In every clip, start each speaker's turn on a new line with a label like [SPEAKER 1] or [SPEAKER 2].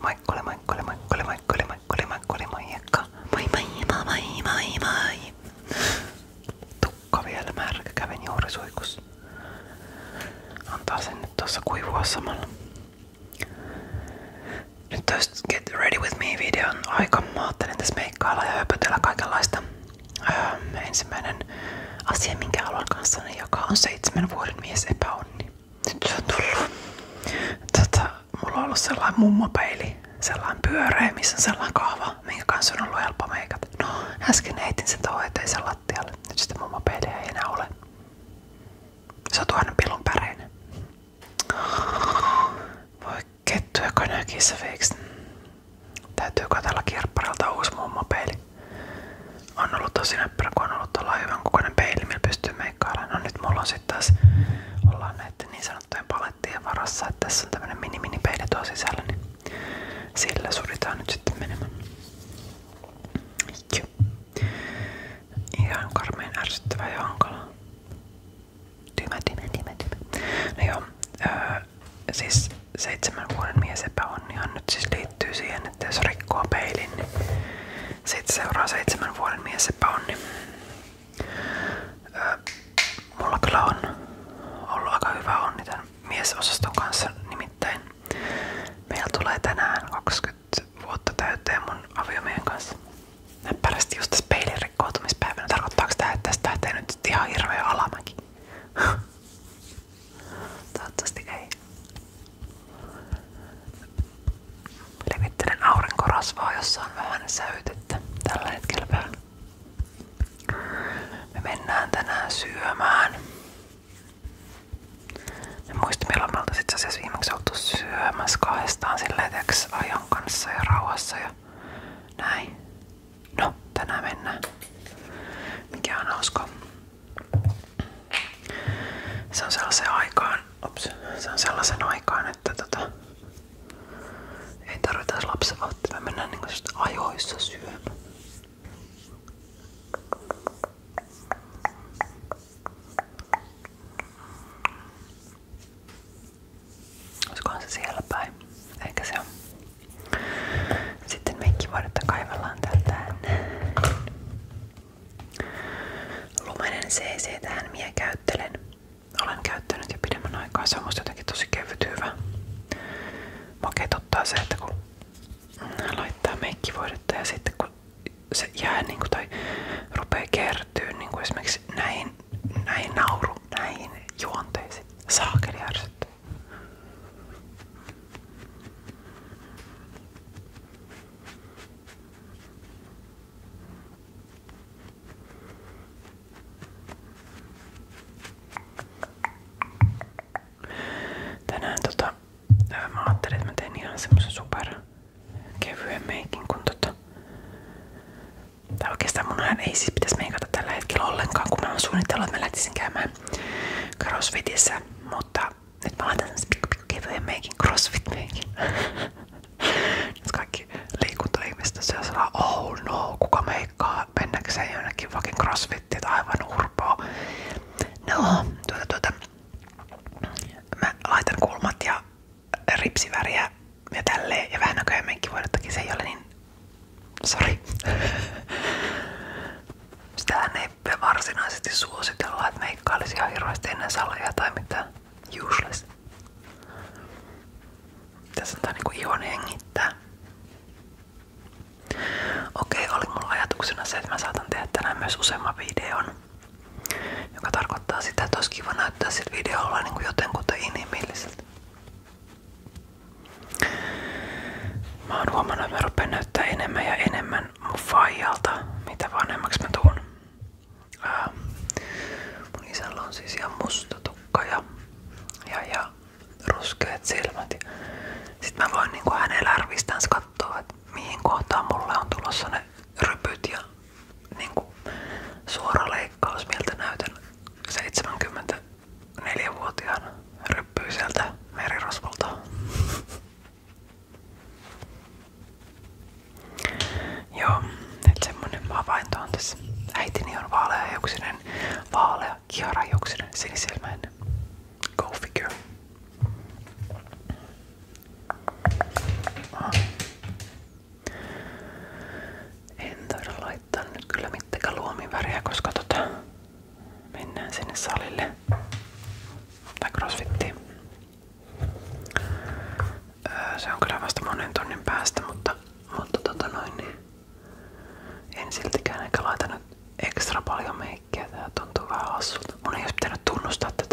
[SPEAKER 1] Moikkuli, moikkuli, moikkuli, moikkuli, moikkuli, moikkuli, moikka. Moi, moi, moi, moi, moi, moi. Tukka vielä märkä, kävin juuri suikussa. Antaa sen nyt tuossa kuivua samalla. Nyt Get Ready With Me videon aika. Mä ajattelin tässä meikkailla ja öö, ensimmäinen asia, minkä haluan kanssani jakaa, on seitsemän vuoden mies epäonni nyt se on tullut. Tota, mulla on ollut sellainen mummopeili, sellainen pyöreä, missä on sellainen kahva, minkä kanssa on ollut helppo meikata. No, äsken heitin sen tuohon eteisen lattialle. Nyt sitä mummopeiliä ei enää ole. Se on tuohon pilun päreinen. Voi kettu joka näki se Täytyy katella kirpparilta uusi mummopeili on ollut tosi näppärä, kun on ollut tuolla hyvän kokoinen peili, millä pystyy meikkailemaan. No nyt mulla on sitten taas, ollaan näiden niin sanottujen palettien varassa, että tässä on tämmönen mini mini peili tuo sisällä, niin sillä suritaan nyt sitten menemään. Joo. Ihan karmeen ärsyttävä ja hankala. Tymä, tymä, tymä, tymä. No joo, öö, siis seitsemän vuoden mies epäonnihan nyt siis liittyy siihen, että jos rikkoo peilin, niin sitten seuraa seitsemän vuoden mies epäonni. Öö, mulla kyllä on ollut aika hyvä onni tämän miesosaston kanssa nimittäin. Meillä tulee tänään 20 vuotta täyteen mun aviomiehen kanssa. Näppärästi just tässä peilin rikkoutumispäivänä. Tarkoittaako tää, että tästä lähtee nyt ihan hirveä alamäki? Toivottavasti ei. Levittelen aurinkorasvaa, jossa on vähän säytettä tällä hetkellä päällä. Me mennään tänään syömään. En muista milloin me oltais itse asiassa viimeksi oltu syömässä kahdestaan silleen ajan kanssa ja rauhassa ja näin. No, tänään mennään. Mikä on hauska. Se on sellaisen aikaan, ops, se on sellaisen aikaan, että tota, ei tarvita lapsenvahtia, me mennään niinku ajoissa syömään. Olisikohan se siellä päin? Eikä se on. Sitten meikkivaadetta kaivellaan täältä. Lumenen CC tähän minä käyttelen. Olen käyttänyt jo pidemmän aikaa, se on musta jotenkin tosi kevyt hyvä. Maketuttaa se, että kun laittaa meikkivoidetta ja sitten kun se jää niin kuin, tai rupeaa kertyä niin kuin esimerkiksi näihin, näihin nauru, näihin juonteisiin. Saakeli ärsyttää. Tänään tota, mä ajattelin, että super kevyen kun tota... Tai ei siis pitäisi meikata tällä hetkellä ollenkaan, kun mä oon suunnitellut, mutta nyt mä laitan sen pikku, pikku kevyen meikin, crossfit meikin. nyt kaikki liikuntaihmistä syö sanoa, oh no, kuka meikkaa mennäkseen jonnekin vakin crossfittiin tai aivan urpoa. No, tuota tuota, mä laitan kulmat ja ripsiväriä ja tälleen ja vähän näköjään meikki voida, se ei ole niin sorry, Sitähän ei me varsinaisesti suositella, että meikkailisi ihan hirveästi ennen saleja tai mitään useless. Tässä on tää niinku ihon hengittää. Okei, oli mulla ajatuksena se, että mä saatan tehdä tänään myös useamman videon. Joka tarkoittaa sitä, että olisi kiva näyttää sillä videolla niin kuin jotenkuten inhimilliseltä. Mä oon huomannut, että mä rupean näyttää enemmän ja enemmän kysymään mun faijalta, mitä vanhemmaksi mä tuun. Ää, mun isällä on siis ihan musta tukka ja, ja, ja ruskeat silmät. Sitten mä voin niin hänen lärvistään katsoa, että mihin kohtaan mulle on tulossa ne rypyt ja niinku suora leikkaus, miltä näytän 74 vuotiaana ryppyiseltä merirosvolta. Joo, nyt semmonen havainto on tässä. Äitini on vaaleajuksinen, vaalea, kiharajuksinen, sinisilmäinen. Go figure. Ah. En taida laittaa nyt kyllä mittenkään luomiväriä, koska tota, mennään sinne salille tai crossfittiin. Öö, se on kyllä vasta monen tunnin päästä, mutta, mutta tota noin, niin en siltikään ehkä laitanut ekstra paljon meikkiä. Tää tuntuu vähän hassulta. Mun ei olisi pitänyt tunnustaa tätä.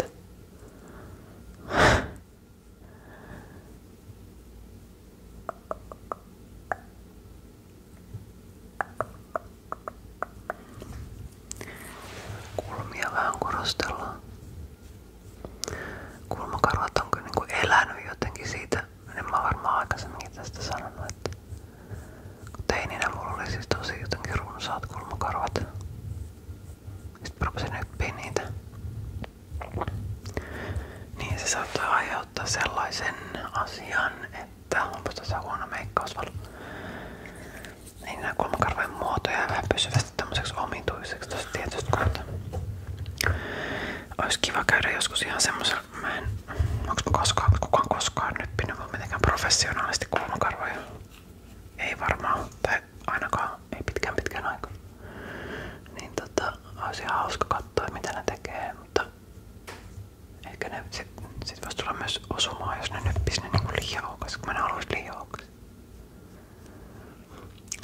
[SPEAKER 1] Kulmia vähän korostellaan. Kulmakarvat on kyllä niinku elänyt jotenkin siitä. En mä varmaan aikaisemminkin tästä sanonut, että kun teininä mulla oli siis tosi jotenkin runsaat kulmakarvat. Sitten rupesin nyppiä niitä. Niin se saattoi aiheuttaa sellaisen asian, että onpa tässä huono meikkausvalo. Niin kulmakarvojen muoto jää vähän pysyvästi tämmöiseksi omituiseksi tosta tietystä kautta. Olisi kiva käydä joskus ihan semmoisella, mä en, onks koskaan, kukaan koskaan nyppinyt mut mitenkään professionaalisesti kulmakarvoja? Ei varmaan, tai ainakaan, ei pitkään pitkään aikaan. Niin tota, olisi ihan hauska katsoa mitä ne tekee, mutta ehkä ne sitten sit voisi tulla myös osumaan, jos ne nyppis ne niinku liian aukas, kun mä ne haluaisin liian aukas.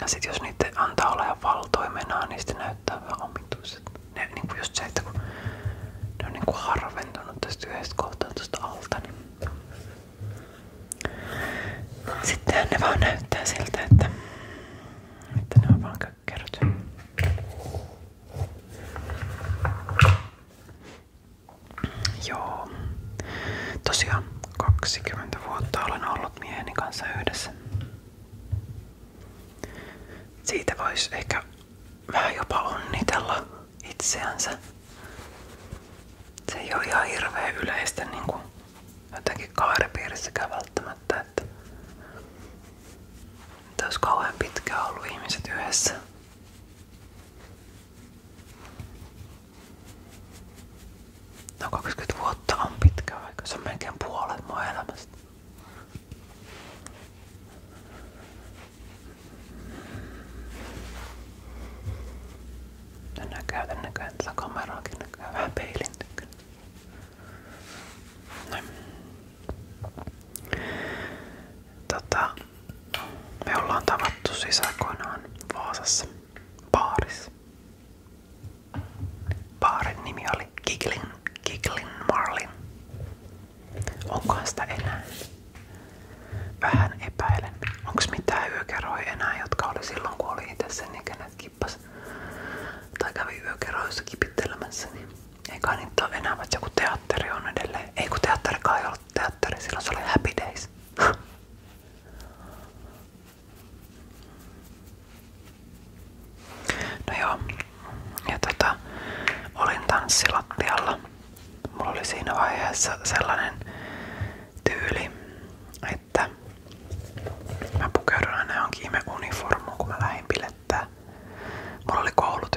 [SPEAKER 1] Ja sit jos niitä antaa olla ihan valtoimenaan, niin sitten näyttää vähän omituiset. Ne niinku just se, että kun ne on niinku harventunut tästä yhdestä kohtaa tuosta alta, niin sitten ne vaan näyttää siltä, että, että ne on vaan kökkeröt. Joo. Tosiaan 20 vuotta olen ollut mieheni kanssa yhdessä. Siitä voisi ehkä vähän jopa onnitella itseänsä. Se ei ole ihan hirveän yleistä niin kuin jotenkin kaaripiirissäkään välttämättä, että, että olisi kauhean pitkään ollut ihmiset yhdessä. No 20 vuotta on pitkä aika, puolet mun elämästä. Tänään käytän näköjään tätä kameraakin näköjään me ollaan tavattu siis aikoinaan Vaasassa baarissa. Baarin nimi oli Giglin, Giglin Marlin. Onkohan sitä enää? Vähän epäilen. Onks mitään yökerhoja enää, jotka oli itse sen ikäinen, tai kävi yökerhoissa kipittelemässä, niin ei kai niitä ole enää, vaikka joku teatteri on edelleen. Ei kun teatterikaan ei ole ollut teatteri, silloin se Happy Days. No joo, ja tota, olin tanssilattialla. oli siinä vaiheessa sellainen tyyli, että mä pukeudun aina johonkin ihme uniformuun, kun mä lähdin bilettää. Mulla oli koulut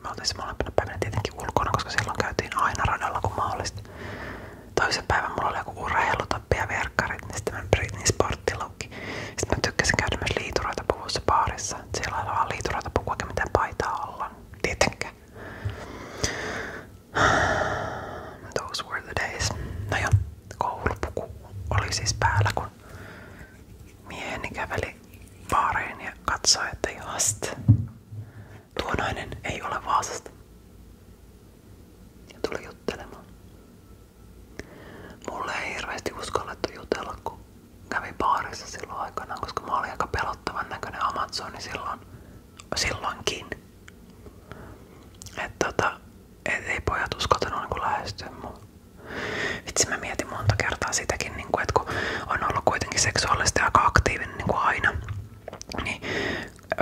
[SPEAKER 1] me oltiin se molempina päivinä tietenkin ulkona, koska silloin käytiin aina radalla kun mahdollista. Toisen päivän mulla oli joku urheilutappi ja verkkarit, niin sitten mä Britney sporttilukki. Sitten mä tykkäsin käydä myös liituroita puvussa baarissa. Siellä oli vaan liituroita puku, eikä mitään paitaa olla. Tietenkään. Those were the days. No joo, koulupuku oli siis päällä, kun mieheni käveli baariin ja katsoi, että just Tuo nainen ei ole Vaasasta. Ja tuli juttelemaan. Mulle ei hirveästi uskallettu jutella, kun kävi baarissa silloin aikana, koska mä olin aika pelottavan näköinen Amazoni silloin, silloinkin. Että tota, et ei pojat uskaltanut niin lähestyä mua. Vitsi mä mietin monta kertaa sitäkin niin niin kuin, että kun on ollut kuitenkin seksuaalisesti aika aktiivinen niin kuin aina, niin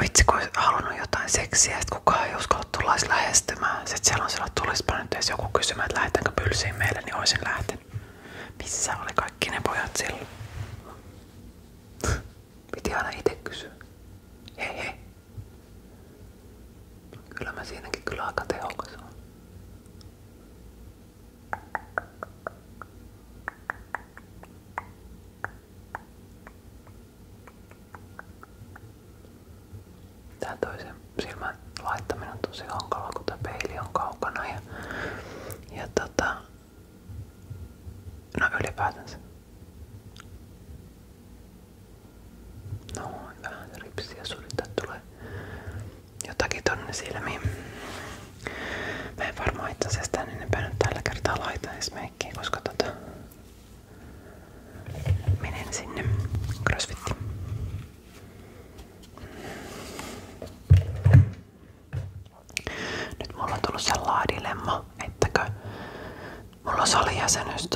[SPEAKER 1] vitsi kun olisi halunnut jotain seksiä, että kukaan ei uskalla tulla lähestymään. Sitten siellä on sillä, että tulisipa nyt edes joku kysymään, että lähdetäänkö pylsiin meille, niin olisin lähtenyt. Missä oli kaikki ne pojat silloin? Piti aina itse kysyä. Hei hei. Kyllä mä siinäkin kyllä aika tehokas on. Tää toisen silmän laittaminen on tosi hankalaa, kun tää peili on kaukana ja, ja tota, no ylipäätänsä. Noin, vähän ripsiä surittaa tulee jotakin tonne silmiin. Mä en varmaan itse asiassa tän enempää nyt tällä kertaa laita edes meikkiä, koska tota menen sinne crossfittiin. Nyt mulla on tullut sellainen dilemma, ettäkö mulla on salijäsenyys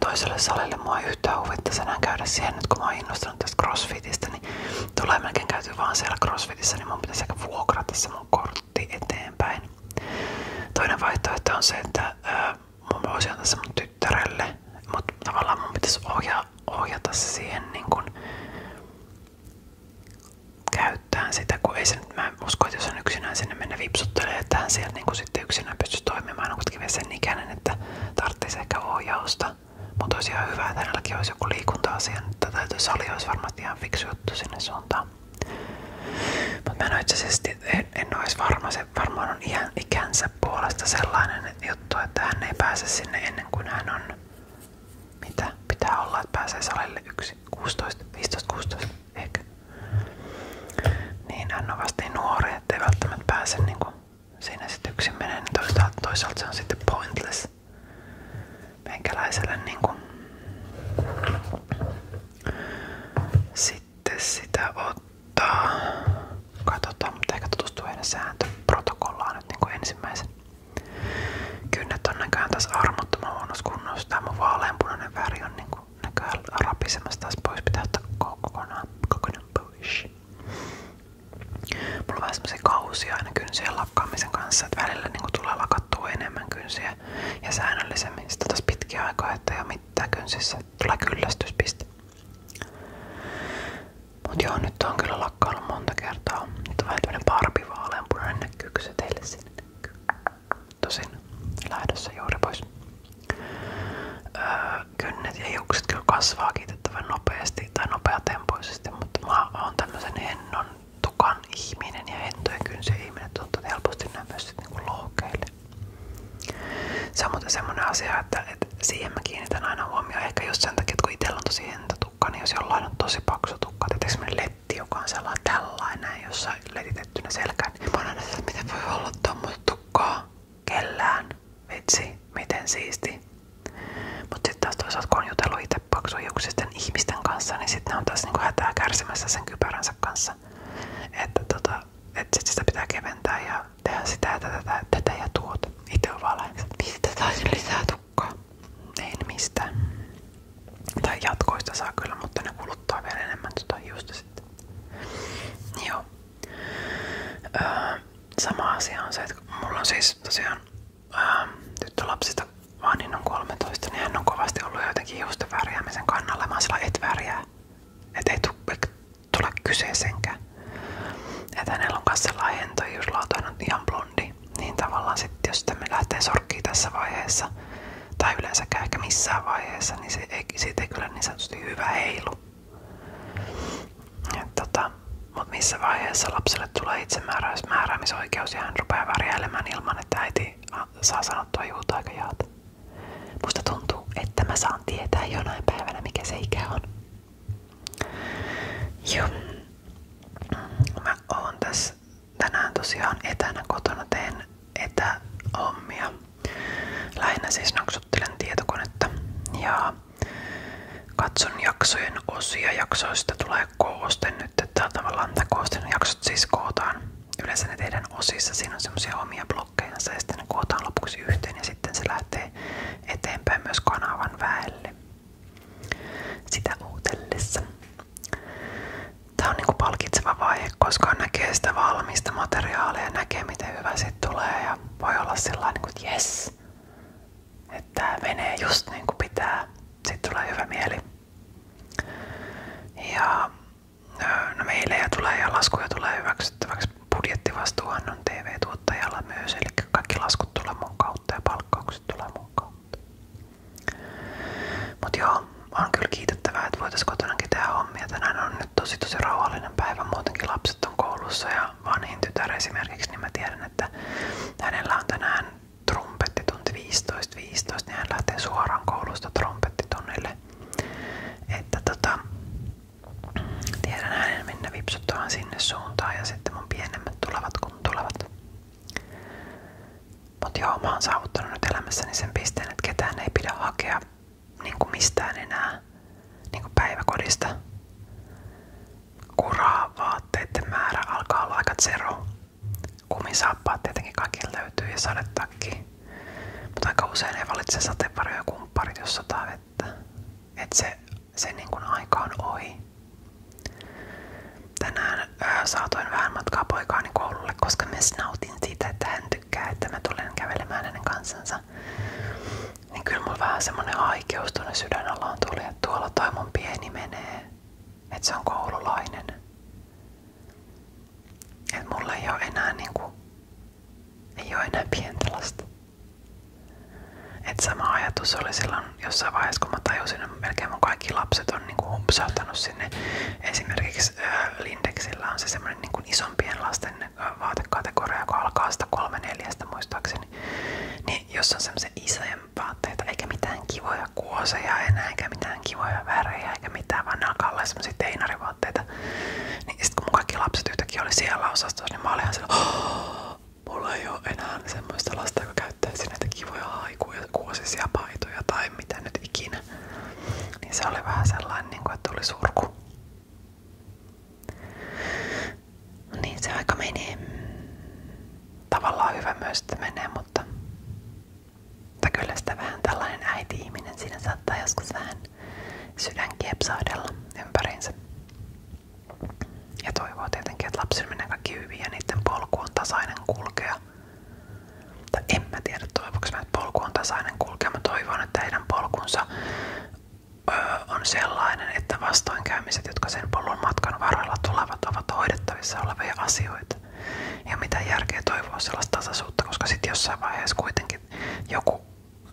[SPEAKER 1] toiselle salille. Mua ei yhtään huvittaa senään käydä siihen, nyt kun mä oon innostunut tästä crossfitistä, niin tulee melkein käyty vaan siellä crossfitissä, niin mun pitäisi ehkä vuokrata se mun kortti eteenpäin. Toinen vaihtoehto on se, että ää, mun voisi antaa se mun tyttärelle, mutta tavallaan mun pitäisi ohjaa, ohjata se siihen niin kun, käyttää sitä, kun ei se nyt, mä usko, että jos on yksinään sinne mennä vipsuttelee, että hän sieltä niin sitten yksinään pystyy toimimaan, on kuitenkin vielä sen ikäinen, että tarvitsisi ehkä ohjausta. Mutta olisi ihan hyvä, että hänelläkin olisi joku liikunta-asia, että niin täytyy sali olisi varmasti ihan fiksu juttu sinne suuntaan. Mutta mä en itse asiassa, en, en olisi varma, se varmaan on iän, ikänsä puolesta sellainen juttu, että hän ei pääse sinne ennen kuin hän on, mitä pitää olla, että pääsee salille yksi, 16, 15, 16 ehkä. Niin hän on vasta niin nuori, ettei välttämättä pääse niinku siinä sitten yksin menee, niin toisaalta, toisaalta se on sitten pointless siis meikäläiselle niin kuin. Sitten sitä ottaa. Katsotaan, mutta ehkä tutustuu heidän sääntöprotokollaan nyt niin kuin ensimmäisen. Kynnet on näköjään taas armottoman huonossa kunnossa. Tämä mun vaaleanpunainen väri on niin kuin näköjään rapisemassa taas pois. Pitää ottaa kokonaan, kokonaan pois. Mulla on vähän semmosia kausia aina kynsien lakkaamisen kanssa, että välillä niin tulee lakattua enemmän kynsiä ja säännöllisemmin. Sitten taas pitkiä aikaa, että ei ole mitään kynsissä, tulee kyllästyspiste. Mut joo, nyt on kyllä lakkaillut monta kertaa. Nyt on vähän parpi parpivaaleanpunainen näkyykö se teille sinne Tosin lähdössä juuri pois. Öö, kynnet ja hiukset kyllä kasvaa kiitettävän nopeasti tai nopeatempoisesti, mutta mä oon tämmöisen hennon tukan ihminen ja hentojen kynsi ihminen tuntuu helposti nämä myös sit niinku lohkeille. Se on muuten semmonen asia, että, että siihen mä kiinnitän aina huomioon. Ehkä just sen takia, että kun itsellä on tosi hentotukka, niin jos jollain on tosi paksu tukka, tietysti semmonen letti, joka on sellainen tällainen, jossa letitettynä selkään, niin mä oon aina että miten voi olla tommoista tukkaa kellään. Vitsi, miten siisti. Mutta sitten taas toisaalta kun on jutellut itse paksuhiuksisten ihmisten kanssa, niin sitten ne on taas niinku hätää kärsimässä sen kypäränsä kanssa. Että tota, et sit sitä pitää keventää ja tehdä sitä ja tätä, tätä, tätä ja tuot Itse on vaan mistä saisin lisää tukkaa? En mistään. Tai jatkoista saa kyllä, mutta ne kuluttaa vielä enemmän tuota hiusta sitten. Joo. Öö, sama asia on se, että mulla on siis tosiaan ähm, tyttölapsista Vanhin on 13, niin, niin hän on kovasti ollut jotenkin hiusten värjäämisen kannalla. Mä sillä et värjää. Et ei tule kyseeseenkään. Että hänellä on myös sellainen hentoijuuslauta, on ihan blondi. Niin tavallaan sitten, jos me lähtee sorkkiin tässä vaiheessa, tai yleensäkään ehkä missään vaiheessa, niin se ei, siitä ei kyllä niin sanotusti hyvä heilu. Tota, Mutta missä vaiheessa lapselle tulee itsemääräämisoikeus ja hän rupeaa värjäilemään ilman, että äiti saa sanottua juuta aika jaata. Musta tuntuu, että mä saan tietää jonain päivänä, mikä se ikä on. Joo. Mä oon tässä tänään tosiaan etänä kotona, teen etähommia. Lähinnä siis naksuttelen tietokonetta ja Katson jaksojen osia. Jaksoista tulee kooste nyt, että tavallaan tämä koosteen jaksot siis kootaan. Yleensä ne tehdään osissa, siinä on semmoisia omia blokkeja ja sitten ne kootaan lopuksi yhteen ja sitten se lähtee eteenpäin myös kanavan väelle. Sitä uutellessa. Tää on niinku palkitseva vaihe, koska näkee sitä valmista materiaalia näkee miten hyvä siitä tulee ja voi olla sellainen, niinku, että jes, että tää menee just niin kuin pitää. Sitten tulee hyvä mieli. Ja no meilejä tulee ja laskuja tulee hyväksyttäväksi. Budjettivastuuhan on TV-tuottajalla myös, eli kaikki laskut tulee mun kautta ja palkkaukset tulee mun kautta. Mut joo, on kyllä kiitettävää, että voitais kotonakin tehdä hommia. Tänään on nyt tosi tosi rauhallinen päivä, muutenkin lapset on koulussa ja vanhin tytär esimerkiksi, niin mä tiedän, että hänellä on tänään trumpettitunti 15.15, 15, niin hän lähtee suoraan koulusta trompettitunnille. Että tota, tiedän hänen minne vipsuttuaan sinne suuntaan ja sitten mun pienemmät tulevat kun tulevat. Mutta joo, mä oon saavuttanut nyt elämässäni sen pisteen, että ketään ei pidä hakea niin mistään enää niin kuin päiväkodista kuraa vaatteiden määrä alkaa olla aika zero. Kumisaappaat tietenkin kaikille löytyy ja sadetakki. Mutta aika usein ei valitse sateenvarjoja ja kumpparit, jos sataa vettä. Et se, se niin kuin aika on ohi. Tänään ö, saatoin vähän matkaa poikaani koululle, koska me nautin siitä, että hän tykkää, että mä tulen kävelemään hänen kanssansa niin kyllä mulla vähän semmonen haikeus tuonne sydänalaan tuli, että tuolla toi mun pieni menee, että se on koululainen. Että mulla ei oo enää niinku, ei oo enää pientä lasta. Et sama ajatus oli silloin jossain vaiheessa, kun mä tajusin, että melkein mun kaikki lapset on niinku humpsahtanut sinne. Esimerkiksi äh, Lindexillä on se semmoinen niinku isompien lasten äh, vaatekategoria, joka alkaa sitä kolme neljästä muistaakseni. Niin jos on semmoisen isä tempaatteita, eikä mitään kivoja kuoseja enää, eikä mitään kivoja värejä, eikä mitään, vaan nakalla semmosia teinarivaatteita. Niin sit kun mun kaikki lapset yhtäkkiä oli siellä osastossa, niin mä olin ihan sillä, oh, mulla ei oo enää semmoista lasta, joka käyttäisi näitä kivoja haikuja, kuosisia paitoja tai mitä nyt ikinä. Niin se oli vähän sellainen, niin että tuli surku niin, se aika menee. Tavallaan hyvä myös, että menee, mutta, mutta kyllä sitä vähän tällainen äiti-ihminen siinä saattaa joskus vähän sydän kiepsahdella ympäriinsä. Ja toivoo tietenkin, että lapsi menee kaikki hyvin ja niiden polku on tasainen kulkea. Tai en mä tiedä, toivoksi mä, että polku on tasainen kulkea. Mä toivon, että heidän polkunsa on sellainen, että vastoinkäymiset, jotka sen polun matkan varrella tulevat, ovat hoidettavissa olevia asioita. Ja mitä järkeä toivoa sellaista tasaisuutta, koska sitten jossain vaiheessa kuitenkin joku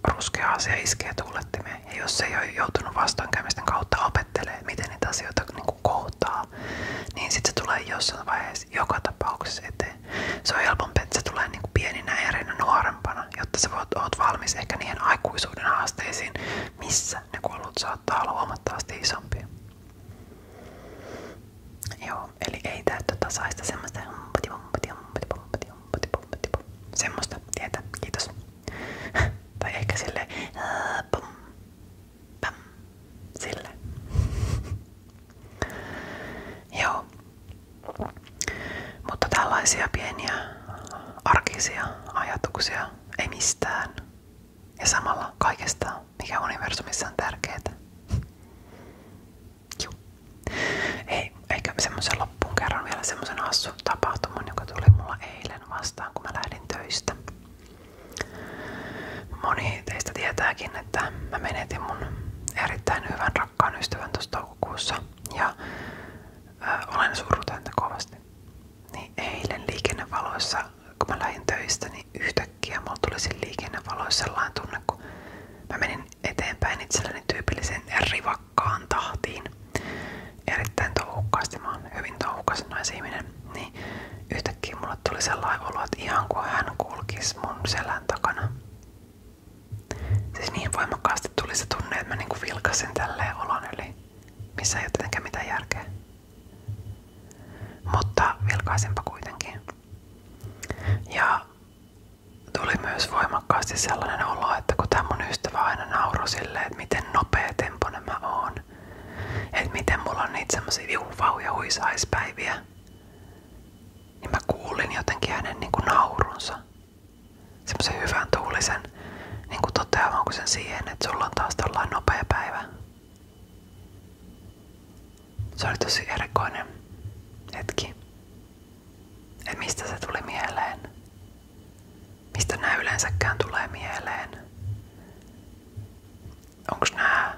[SPEAKER 1] ruskea asia iskee tuulettimeen. Ja jos se ei ole joutunut vastoinkäymisten kautta opettelemaan, miten niitä asioita niinku, niin kohtaa, niin sitten se tulee jossain vaiheessa joka tapauksessa eteen. Se on helpompi, että se tulee niin kuin pieninä erinä nuorempana, jotta sä voit, oot valmis ehkä niihin aikuisuuden haasteisiin, missä ne kuollut saattaa olla huomattavasti isompia. Joo, eli ei täyttä tasaista semmoista semmoista tietä, kiitos. tai ehkä sille sille. Joo. Mutta tällaisia pieniä arkisia ajatuksia ei mistään. Ja samalla kaikesta, mikä universumissa on tärkeää. Juu. Ei, eikä semmoisen loppuun kerran vielä semmoisen hassun tapahtuman, joka tuli mulla eilen vastaan, kun mä lähdin töistä. Moni teistä tietääkin, että mä menetin mun erittäin hyvän rakkaan ystävän tuossa toukokuussa. Ja ää, olen surrut häntä kovasti. Niin eilen liikennevaloissa, kun mä lähdin töistä, niin yhtäkkiä mulla tuli siinä liikennevaloissa kun mä menin eteenpäin itselleni tyypillisen rivakkaan tahtiin. Erittäin touhukkaasti, hyvin touhukas naisihminen, niin yhtäkkiä mulle tuli sellainen olo, ihan kuin hän kulkisi mun selän takana. Siis niin voimakkaasti tuli se tunne, että mä niinku vilkasin tälleen olon yli missä ei ole tietenkään mitään järkeä. Mutta vilkaisinpa kuitenkin. Ja tuli myös voimakkaasti sellainen olo, että kun tämä mun ystävä aina nauroi silleen, että miten nopea temponen mä oon. Että miten mulla on niitä semmosia viuvau- ja huisaispäiviä. Niin mä kuulin jotenkin hänen niinku naurunsa semmoisen hyvän tuulisen niin kuin toteamaan sen siihen, että sulla on taas tällainen nopea päivä. Se oli tosi erikoinen hetki. Et mistä se tuli mieleen? Mistä nämä yleensäkään tulee mieleen? Onko nämä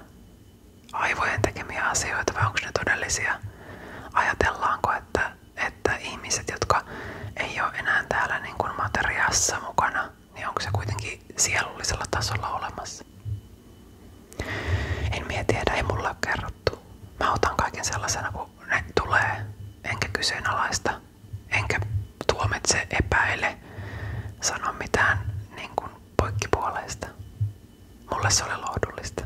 [SPEAKER 1] aivojen tekemiä asioita vai onko ne todellisia? Ajatellaanko, että että ihmiset, jotka ei ole enää täällä niin kuin materiaassa mukana, niin onko se kuitenkin sielullisella tasolla olemassa? En mie tiedä, ei mulle ole kerrottu. Mä otan kaiken sellaisena, kun ne tulee, enkä kyseenalaista, enkä tuomitse, epäile, sano mitään niin kuin poikkipuoleista. Mulle se oli lohdullista.